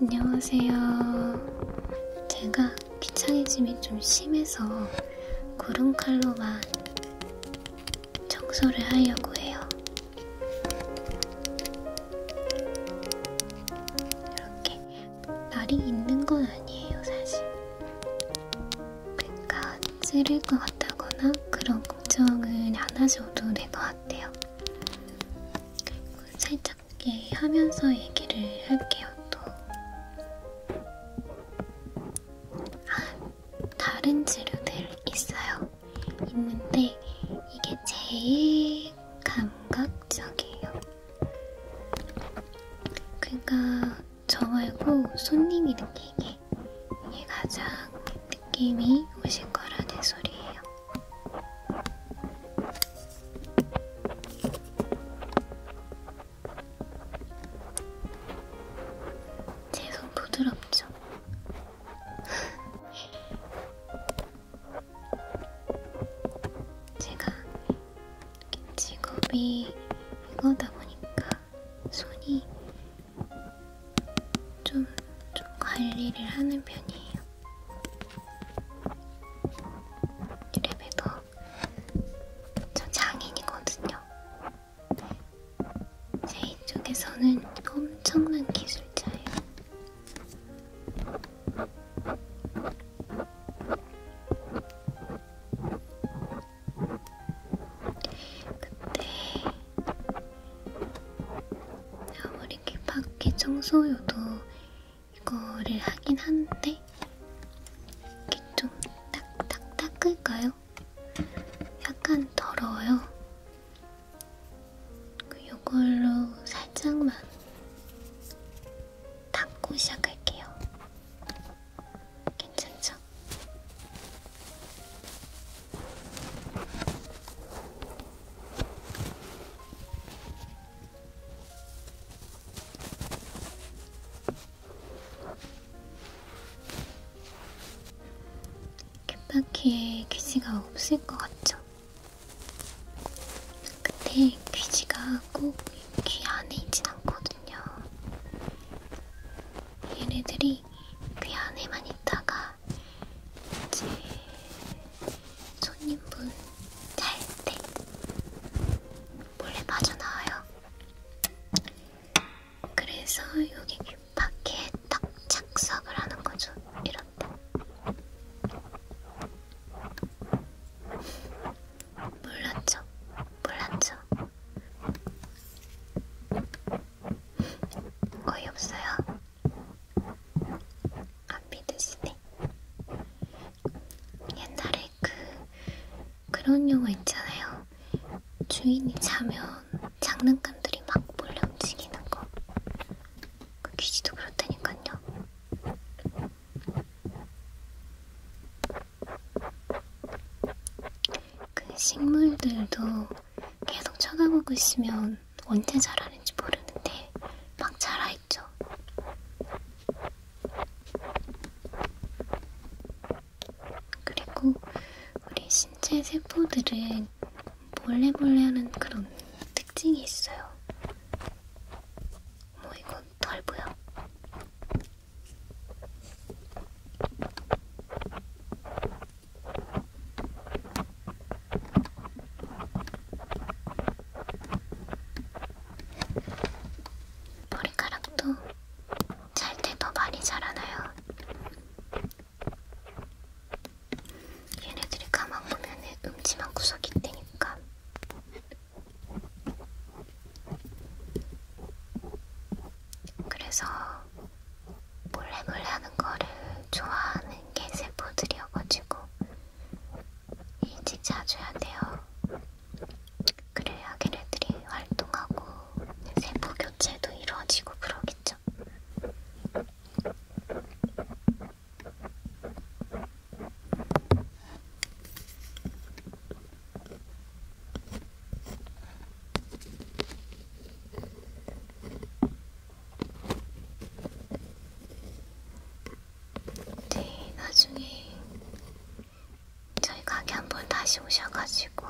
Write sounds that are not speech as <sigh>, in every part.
안녕하세요. 제가 귀차니즘이 좀 심해서 구름칼로만 청소를 하려고 해요. 이렇게 날이 있는 건 아니에요, 사실. 그러니까 찌를 것 같다거나 그런 걱정은 안 하셔도 정도 된것 같아요. 살짝 하면서 얘기를 할게요. 또 아, 다른 재료들 있어요. 있는데 이게 제일 감각적이에요. 그러니까 저 말고 손님이 느끼게 때 이게 가장 느낌이 오실 거라는 소리예요. 제 손 부드럽죠? <laughs> 제가 직업이 이거다 보니까 손이 좀, 좀 관리를 하는 편이에요. 이래봬도 저 장인이거든요. 제 이쪽에서는 엄청난 기술자예요. 그때 아무리 귓바퀴 청소요도 이거를 하긴 하는데 이게 좀 딱딱 닦을까요? 약간 더러워요. 이걸로 그 살짝만 닦고 시작할게요. 괜찮죠? 가자. 캣바퀴에 귀지가 없을 것 같죠? 근데 귀지가 꼭 귀 안에 있진 않거든요. 얘네들이 차라리 그 안에만 있다가 이제 손님분 잘 때 몰래 빠져나와요. 그래서 여기 밖에 딱 착석을 하는 거죠. 이렇게. 몰랐죠? 몰랐죠? 거의 없어요. 안 믿으시네. 옛날에 그 그런 영화 있잖아요. 주인이 자면 장난감들이 막 몰래 움직이는 거. 그 귀지도 그렇다니까요. 그 식물들도 계속 쳐다보고 있으면 언제 자라는지 모르는데 막 자라있죠. 그리고 우리 신체 세포들은 몰래몰래 하는 그런 특징이 있어요. 뭐 이건 덜 보여. 머리카락도 잘때 더 많이 자라나요. 얘네들이 가만 보면 음침한 구석이 있다니까. 그래서 몰래몰래 몰래 하는 거를 좋아하는 게 세포들이어가지고 일찍 자줘야 돼요. 그래야 걔네들이 활동하고 세포 교체도 이루어지고 그러겠죠. 네, 나중에 저희 가게 한번 다시 오셔가지고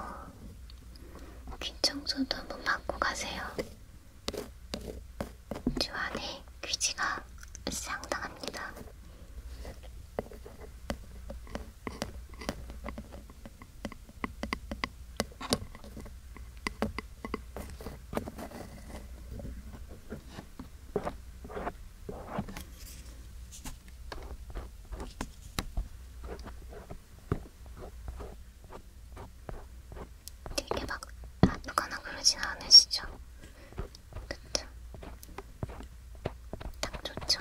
귀 청소도 한번 받고 가세요. 주 안에 귀지가 상당합니다. 되게 막 아프거나 그러진 않으시죠? 그쵸? 딱 좋죠?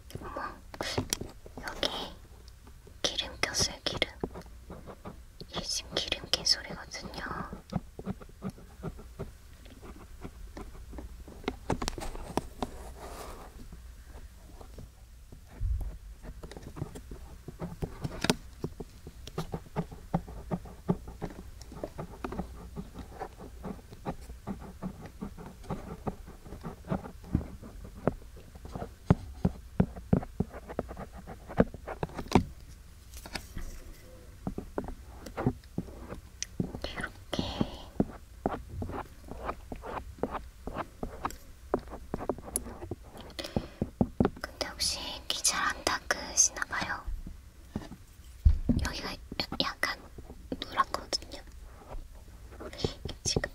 어머, 여기 기름 꼈어요, 기름. 이게 지금 기름 낀 소리거든요. 이렇게 근데 혹시 기절 안 닦으시나봐요? 여기가 약간 노랗거든요. 지금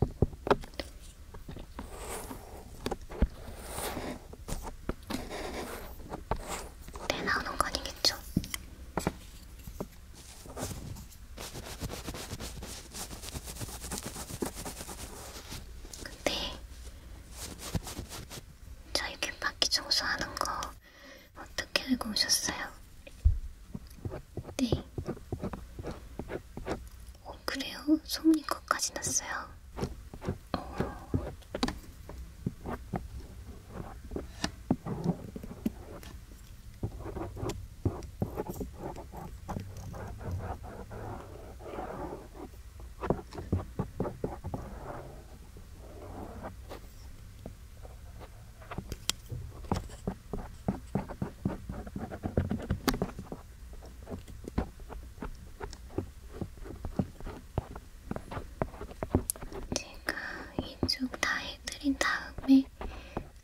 내 나오는 거 아니겠죠? 근데 저희 귓바퀴 청소하는 거 어떻게 알고 오셨어요? 네. 어, 그래요? 소문이 거까지 났어요. 어... 제가 이쪽 다 해드린 다음에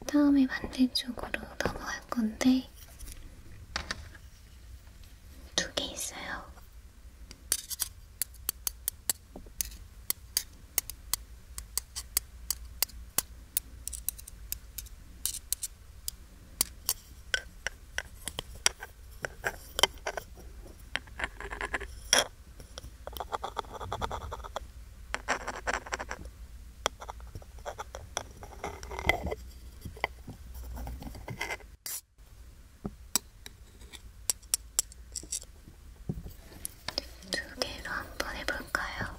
다음에 반대쪽으로 넘어갈 건데 두 개 있어요. 두 개로 한 번 해볼까요?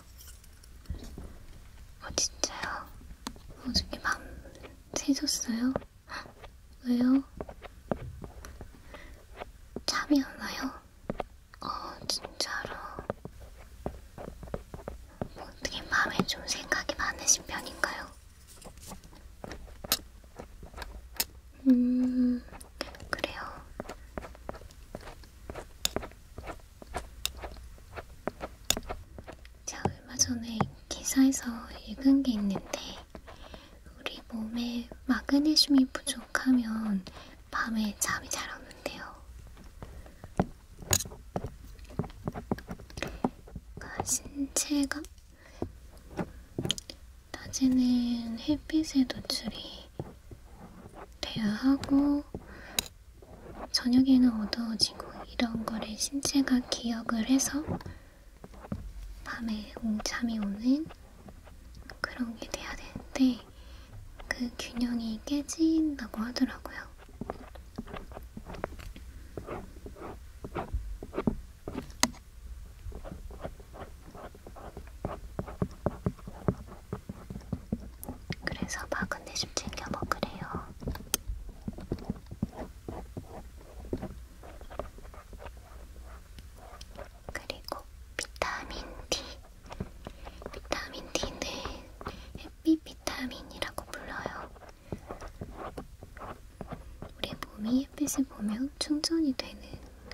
어, 진짜요? 어저께 맘 새셨어요? 왜요? 잠이 안 와요? 어, 진짜로. 뭐 어떻게 마음에 좀 생각이 많으신 편인가요? 음, 그래요. 제가 얼마 전에 기사에서 읽은 게 있는데 우리 몸에 마그네슘이 부족하면 밤에 잠이 잘 오는데요. 그러니까 신체가 낮에는 햇빛에 노출이 돼야 하고 저녁에는 어두워지고 이런 거를 신체가 기억을 해서 밤에 웅참이 오는 그런 게 돼야 되는데 그 균형이 깨진다고 하더라고요. 그래서 마그네슘 챙겨 먹으래요. 그리고 비타민 D. 비타민 D는 햇빛 비타민이라고 불러요. 우리 몸이 햇빛을 보면 충전이 되는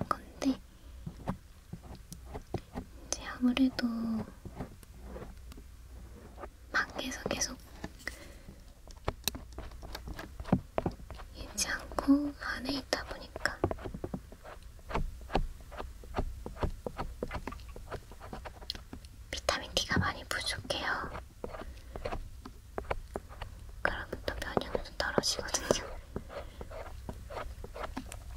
건데 이제 아무래도 밖에서 계속 입지 않고 안에 있다 보니까 비타민 D가 많이 부족해요. 그러면 또 면역력도 떨어지거든요.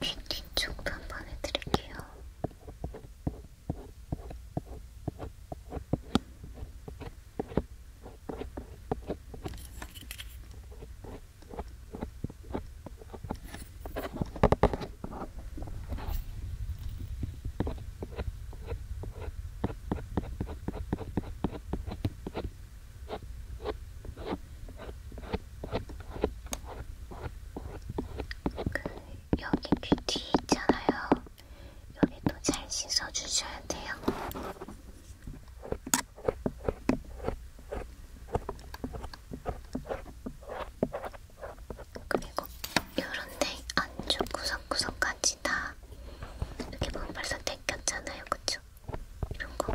귀 뒤쪽도 한 번 해드릴게요. 그 여기 귀 뒤 있잖아요. 여기도 잘 씻어주셔야 돼요. 그리고 요런데 안쪽 구석구석까지 다 이렇게 보면 뭐 벌써 닦였잖아요, 그쵸? 이런 거.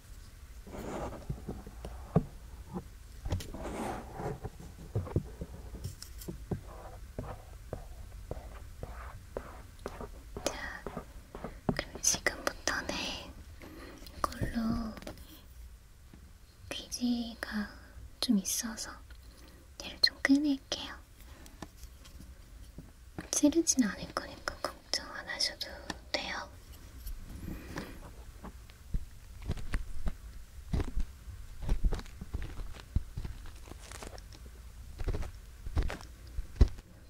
자, 그럼 지금부터는 이걸로 귀지가 좀 있어서 얘를 좀 꺼낼게요. 찌르진 않을 거니까 그거 걱정 안 하셔도 돼요.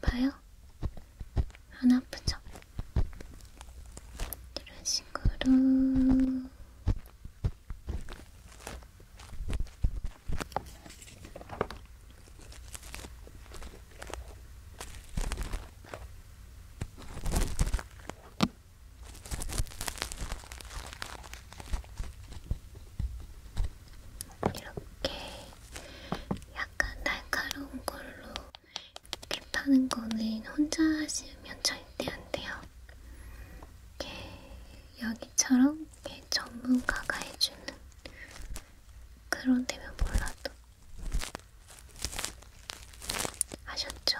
봐요? 안 아프죠? 이런 식으로 이렇게 약간 날카로운 걸로 캡하는 거는 혼자 하시면 절대 안 돼요. 이렇게 여기처럼 이렇게 전문가가 해주는 그런 데면 몰라도 아셨죠?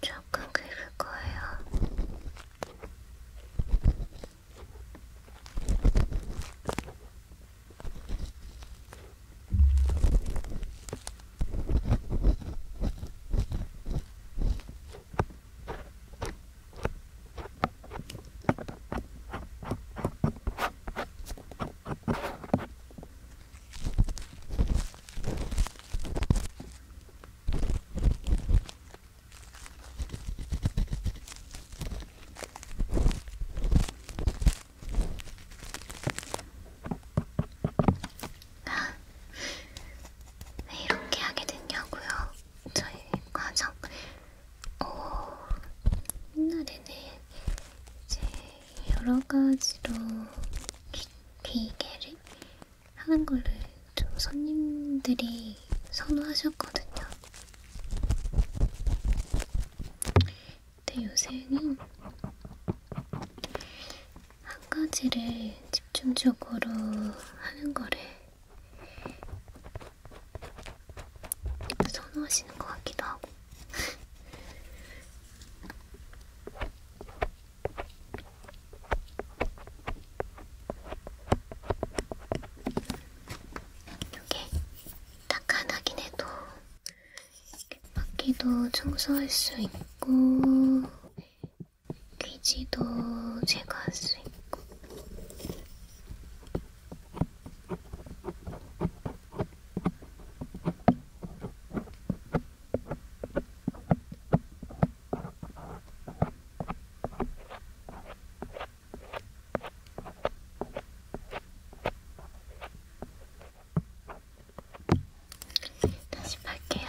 조금 긁을 거예요. 왜 이렇게 하게 됐냐고요? 저희 과정 어, 옛날에는 이제 여러 가지로 기, 기계를 하는 거를 좀 손님들이 선호하셨거든요. 근데 요새는 한 가지를 집중적으로 하는 거를 또 선호하시는 것 같기도 하고. 이게 딱 하나긴 해도 바퀴도 청소할 수 있고 귀지도 제거할 수 있고 다시 팔게요.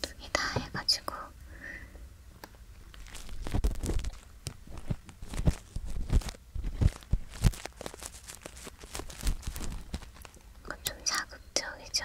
두개다 해가지고 이건 좀 자극적이죠.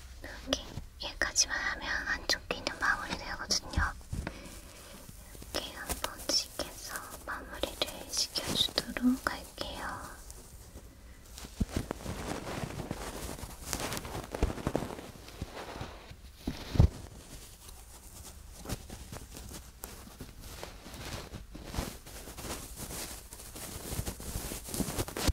이렇게 여기까지만 하면 안쪽 귀는 마무리되거든요. 이렇게 한 번씩 해서 마무리를 시켜주도록 할게요.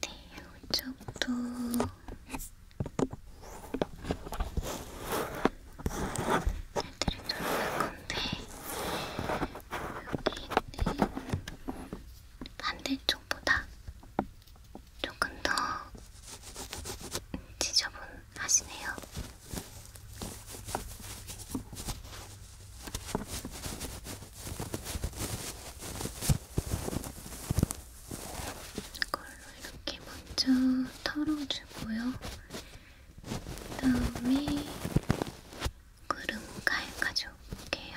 네, 이쪽도 애들이 돌아갈 건데 여기 있는 반대쪽보다 조금 더 지저분하시네요. 이걸로 이렇게 먼저 털어주고요. 그 다음에 구름 가에 가져올게요.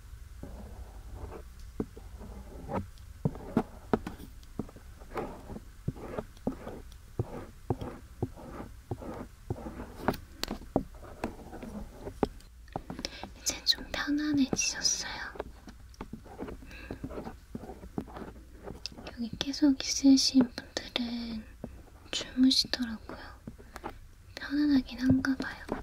이제 좀 편안해지셨어요. 여기 계속 있으신 분들은 주무시더라고요. 편안하긴 한가 봐요.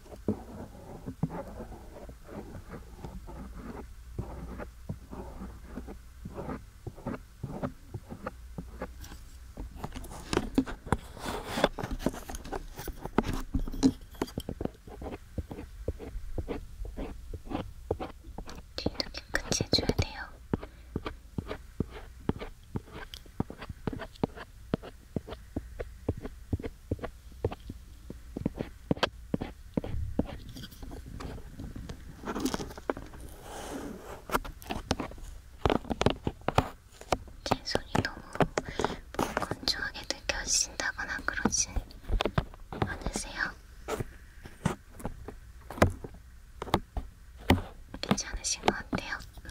뒤도 깨끗이 해줘야 돼요. 제 손이 너무 뭐 건조하게 느껴진다거나 그러지 않으세요? 괜찮으신 것 같아요. 음,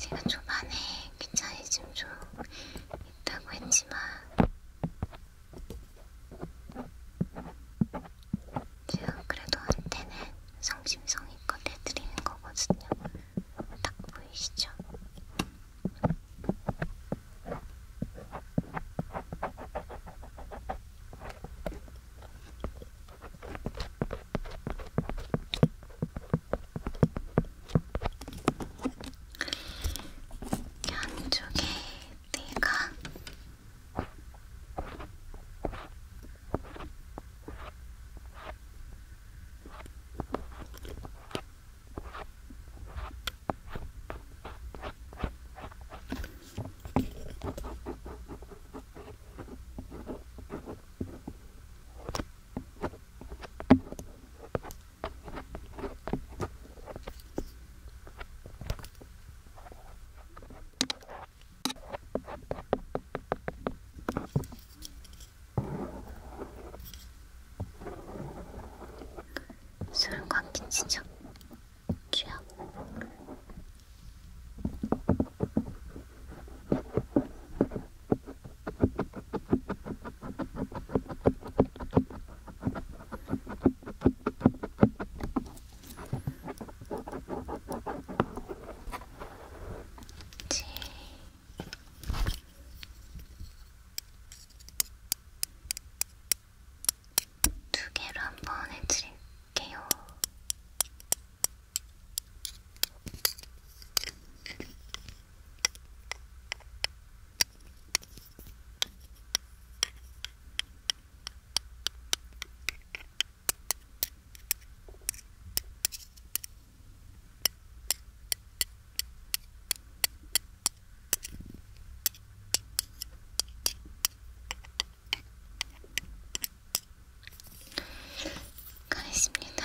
제가 초반에 귀차니즘좀 있다고 했지만 제가 그래도 한때는 성심성의껏 해드리는 거거든요. 딱 보이시죠? 양쪽에 내가 술과 김치죠? 귀여워. 지. 두 개로 한번 해드릴게요. 가겠습니다.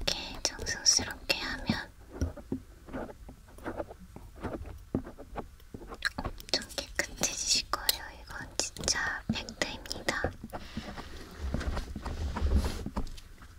이렇게 정성스럽게 하면 엄청 깨끗해지실 거예요. 이건 진짜 팩트입니다.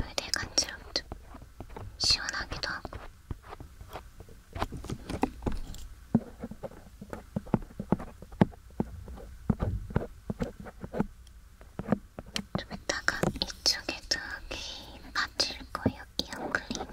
여기 되게 간지럽죠? 시원하기도 하고. 좀 이따가 이쪽에도 이 받칠 거예요. 이어 클리닝.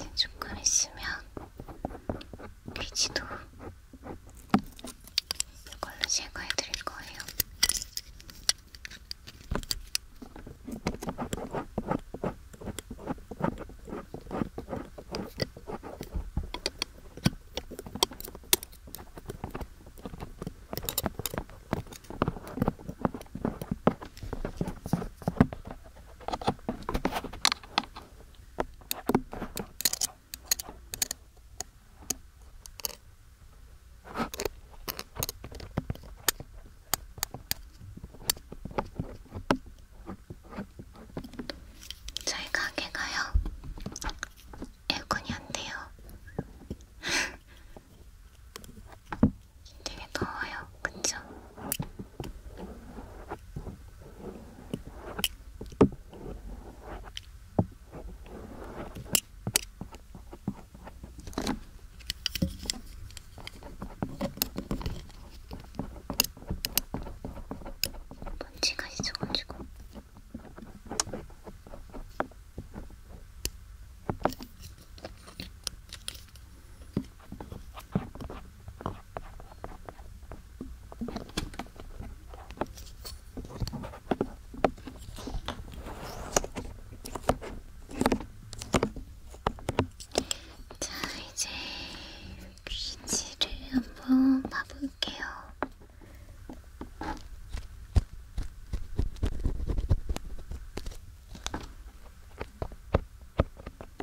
이제 조금 있으면 귀지도 이걸로 제거해 드릴 거예요. 저희 가게가요. 에어컨이 안 돼요. <laughs> 되게 더워요. 그쵸? 먼지가 있어가지고. 자, 이제 귀지를 한번 봐볼게요.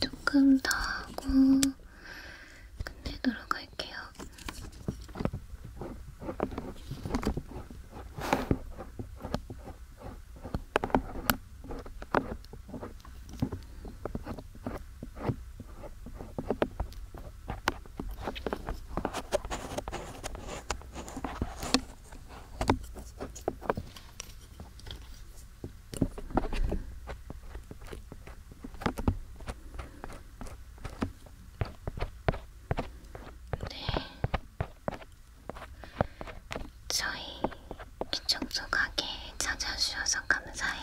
조금 더 하고 끝내도록 할게요. 네, 저희 귀청소 가게 찾아주셔서 감사해요.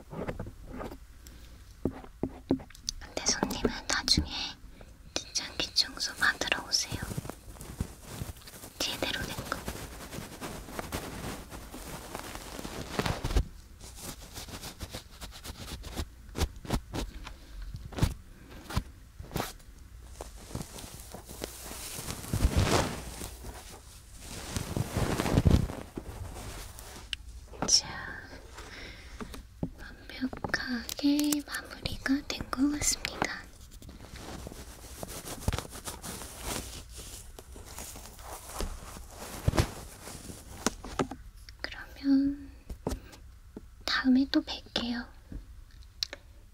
근데 손님은 나중에 진짜 귀청소 받으러 오세요. 제대로 된 거. 자, 완벽하게 마무리가 된 것 같습니다. 그러면 다음에 또 뵐게요.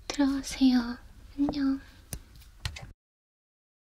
들어가세요. 안녕.